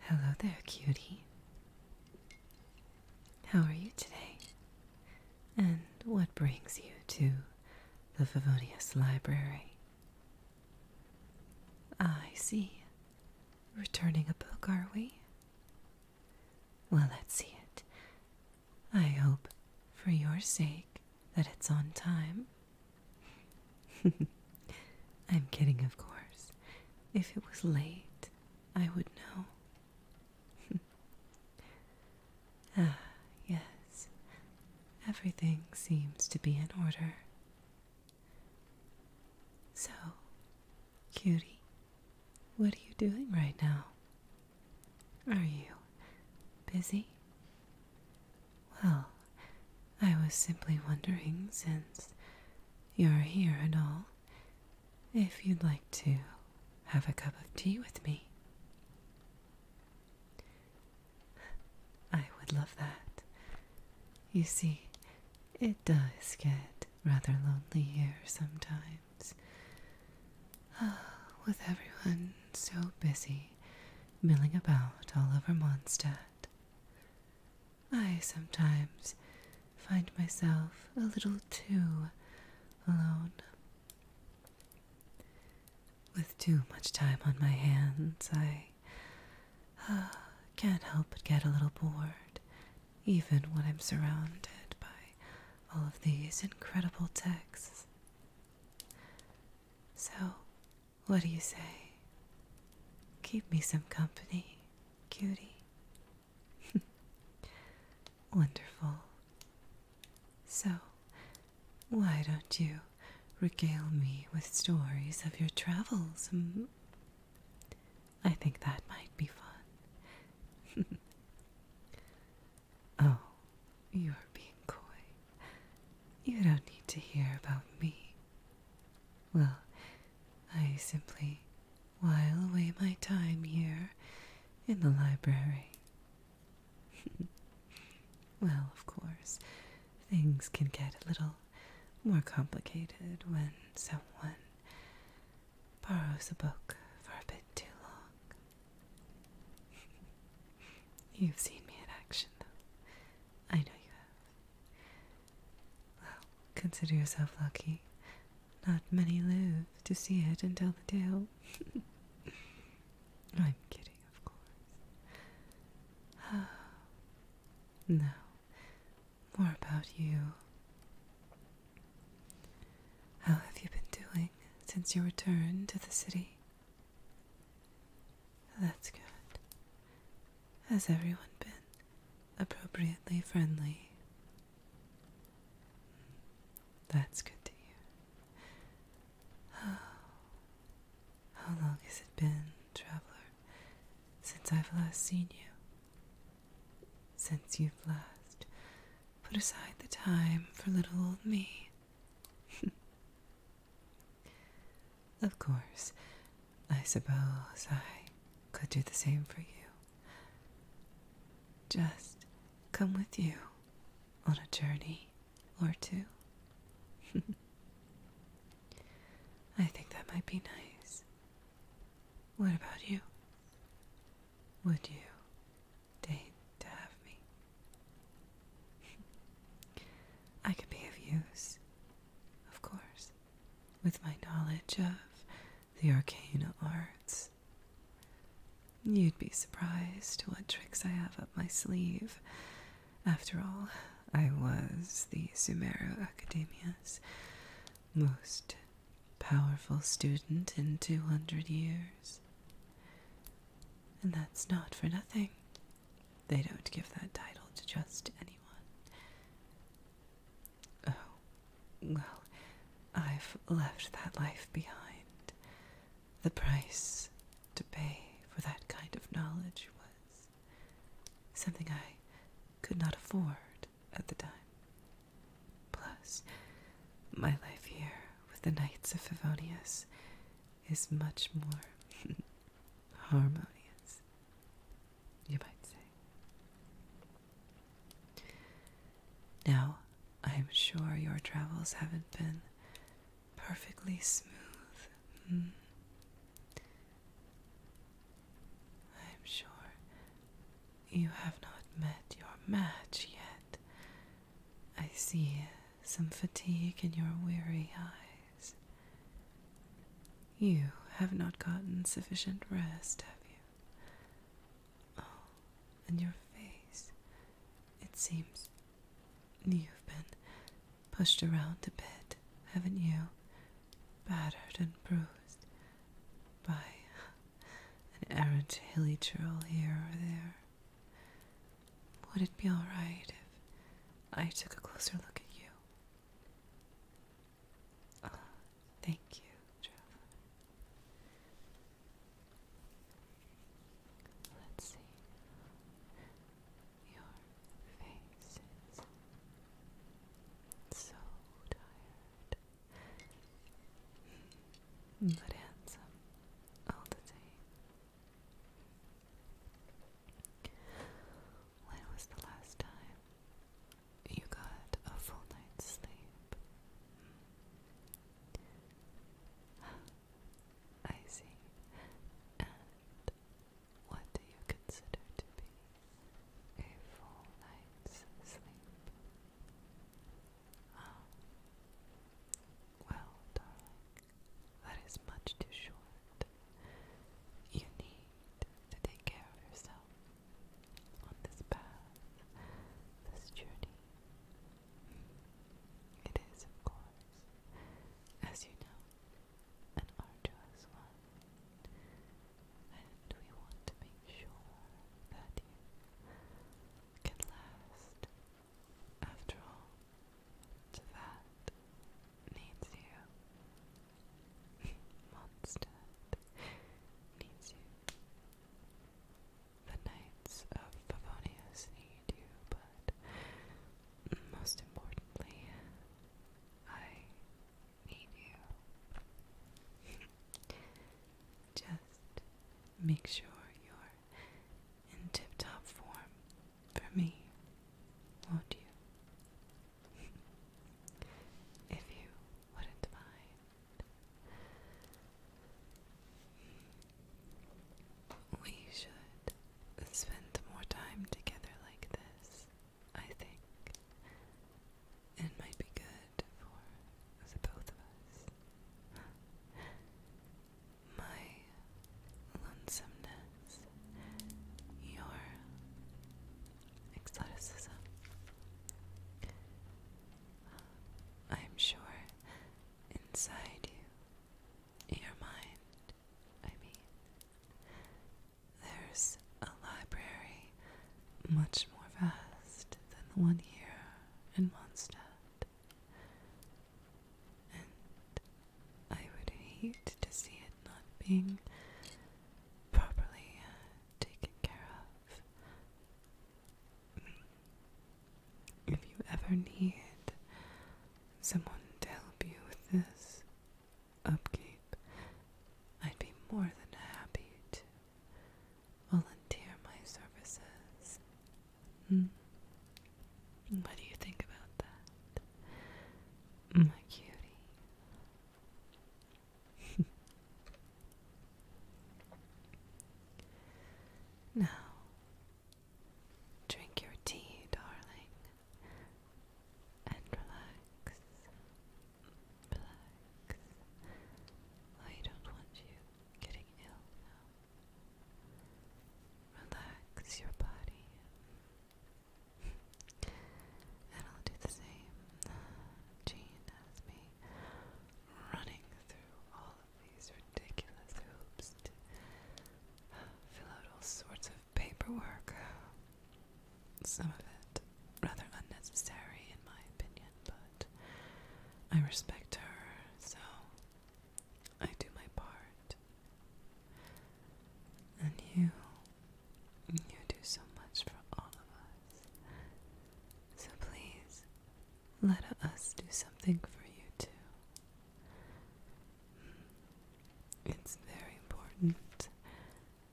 Hello there, cutie. How are you today? And what brings you to the Favonius Library? I see. Returning a book, are we? Well, let's see it. I hope, for your sake, that it's on time I'm kidding, of course. If it was late, I would know. ah, yes. Everything seems to be in order. So, cutie, what are you doing right now? Are you busy? Well, I was simply wondering, since you're here and all, if you'd like to have a cup of tea with me. I would love that. You see, it does get rather lonely here sometimes. Ah, with everyone so busy milling about all over Mondstadt. I sometimes find myself a little too alone. With too much time on my hands, I uh, can't help but get a little bored, even when I'm surrounded by all of these incredible texts. So, what do you say? Keep me some company, cutie. Wonderful. So, why don't you regale me with stories of your travels? Mm. I think that might be fun. oh, you're being coy. You don't need to hear about me. Well, I simply while away my time here in the library. well, of course, things can get a little more complicated when someone borrows a book for a bit too long. You've seen me in action, though. I know you have. Well, consider yourself lucky. Not many live to see it and tell the tale. I'm kidding, of course. now, more about you. How have you been doing since your return to the city? That's good. Has everyone been appropriately friendly? That's good to hear. Oh, how long has it been, traveler, since I've last seen you? Since you've last put aside the time for little old me of course, I suppose I could do the same for you. Just come with you on a journey or two. I think that might be nice. What about you? Would you deign to have me. I could be of use, of course, with my knowledge of the arcane arts. You'd be surprised what tricks I have up my sleeve. After all, I was the Sumero Academia's most powerful student in 200 years. And that's not for nothing. They don't give that title to just anyone. Oh, well, I've left that life behind. The price to pay for that kind of knowledge was something I could not afford at the time. Plus, my life here with the Knights of Favonius is much more harmonious, you might say. Now, I am sure your travels haven't been perfectly smooth. Hmm. I am sure you have not met your match yet I see some fatigue in your weary eyes. You have not gotten sufficient rest, have you? Oh, and your face. It seems you've been pushed around a bit, haven't you? Battered and bruised by an errant hilly trail here or there. Would it be alright if I took a closer look at you? Ah, thank you, Traveler. Let's see. Your face is so tired. But handsome all the same. When was the last time you got a full night's sleep? I see. And what do you consider to be a full night's sleep? Oh. Well, darling, that is much too short. You need to take care of yourself on this path, this journey. It is, of course, as you know, an arduous one, and we want to make sure that you can last. After all, that needs you. Mondstadt needs you. The Knights of Pavonius need you, but most importantly, I need you. Just make sure you're in tip top form for me, won't you? if you wouldn't mind. We should spend more time together like this, I think and might be good for the both of us. My lonesomeness, your exoticism. Um, I'm sure inside you, your mind, I mean, there's a library much more vast than the one here in Mondstadt. And I would hate to see it not being properly uh, taken care of. If you ever need someone to help you with this upkeep, I'd be more than happy to volunteer my services. Hmm. What do you think about that? My cutie. now, drink your tea, darling, and relax. Relax. I don't want you getting ill Relax your body. and I'll do the same. Jean has me running through all of these ridiculous hoops to fill out all sorts of paperwork. Some of it rather unnecessary, in my opinion, but I respect her, so I do my part. And you, you do so much for all of us. So please, let us do something for you too. Hmm. It's very important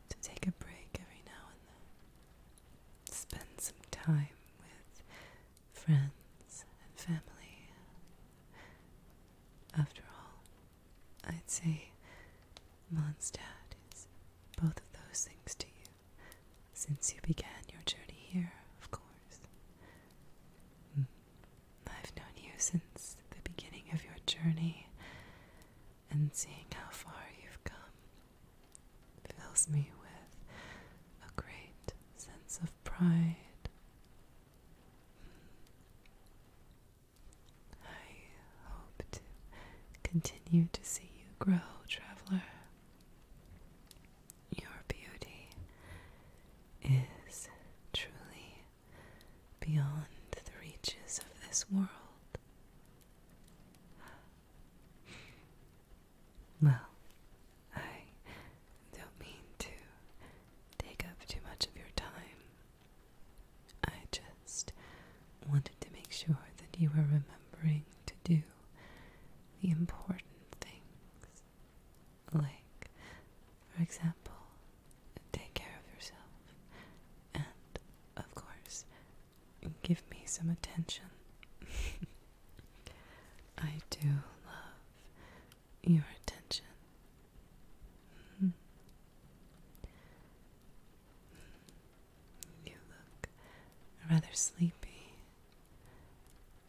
to take a break every now and then. Spend some time with friends and family. After all, I'd say Mondstadt is both of those things to you since you began your journey here, of course. Mm. I've known you since the beginning of your journey, and seeing how far you've come fills me with a great sense of pride. Hmm. I hope to continue to see you grow, traveler. Your beauty is truly beyond the reaches of this world. Well, I don't mean to take up too much of your time. I just wanted to make sure that you were remembering to do the important things. Like, for example, take care of yourself and, of course, give me some attention. I do love your attention. Mm-hmm. Mm-hmm. You look rather sleepy.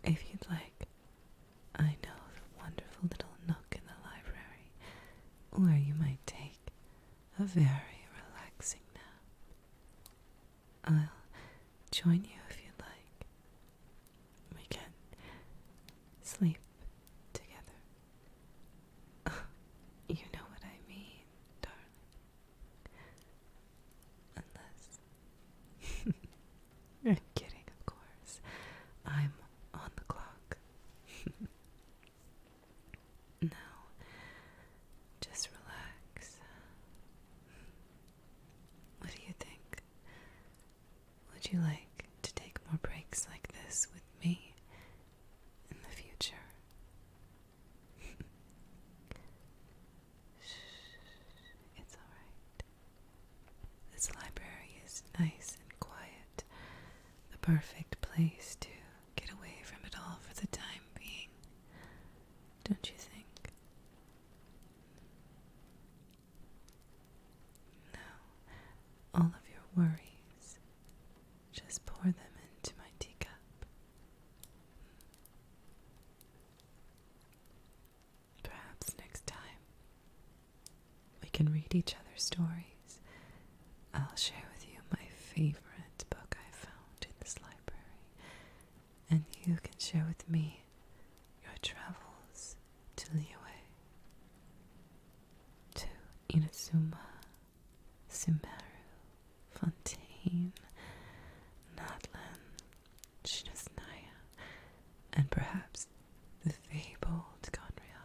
If you'd like, I know of a wonderful little nook in the library where you might take a very relaxing nap. I'll join you if you'd like. We can sleep together. you know what I mean, darling. Unless. I'm kidding, of course. I'm on the clock. Now, just relax. What do you think? Would you like to take more breaks like this with me in the future? it's alright. This library is nice and quiet, the perfect place to get away from it all for the time being, don't you think? No, all of your worries, just pour them into my teacup. Perhaps next time we can read each other's stories. I'll share with you my favorite book I found in this library, and you can share with me your travels to Liyue, to Inazuma, Sumeru, Fontaine, Nadlan, Shinasnaya, and perhaps the fabled Gondria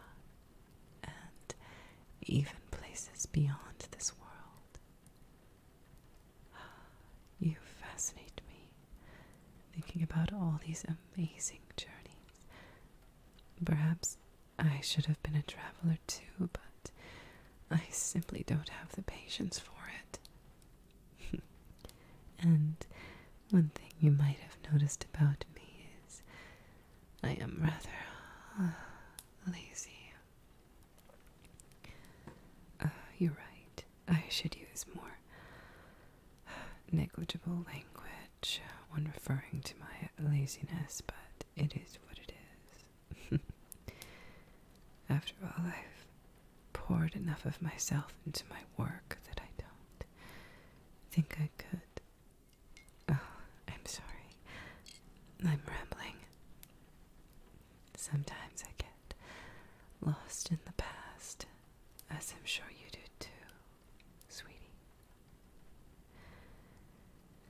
and even places beyond this world. You fascinate me thinking about all these amazing journeys. Perhaps I should have been a traveler too, but I simply don't have the patience for it. and one thing you might have noticed about me is I am rather uh, lazy. Uh, you're right. I should use more uh, negligible language when referring to my laziness, but it is what it is. After all, I've poured enough of myself into my work that I don't think I could Oh, I'm sorry. I'm rambling. Sometimes I get lost in the past, as I'm sure you do too, sweetie.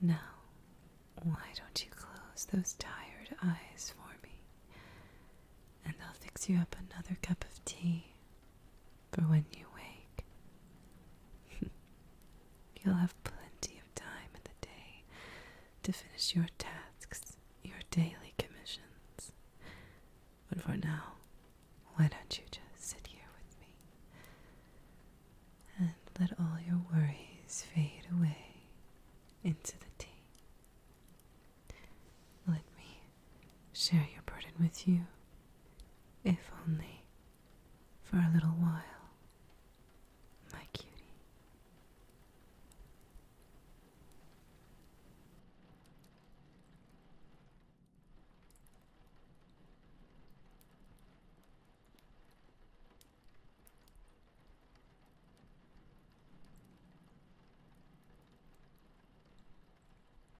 Now, why don't you close those tired eyes for me? And I'll fix you up another cup of tea for when you wake. You'll have plenty of time in the day to finish your tasks, your daily commissions. But for now, why don't you just sit here with me and let all your worries fade away into the tea? Let me share your burden with you, if only for a little while, my cutie.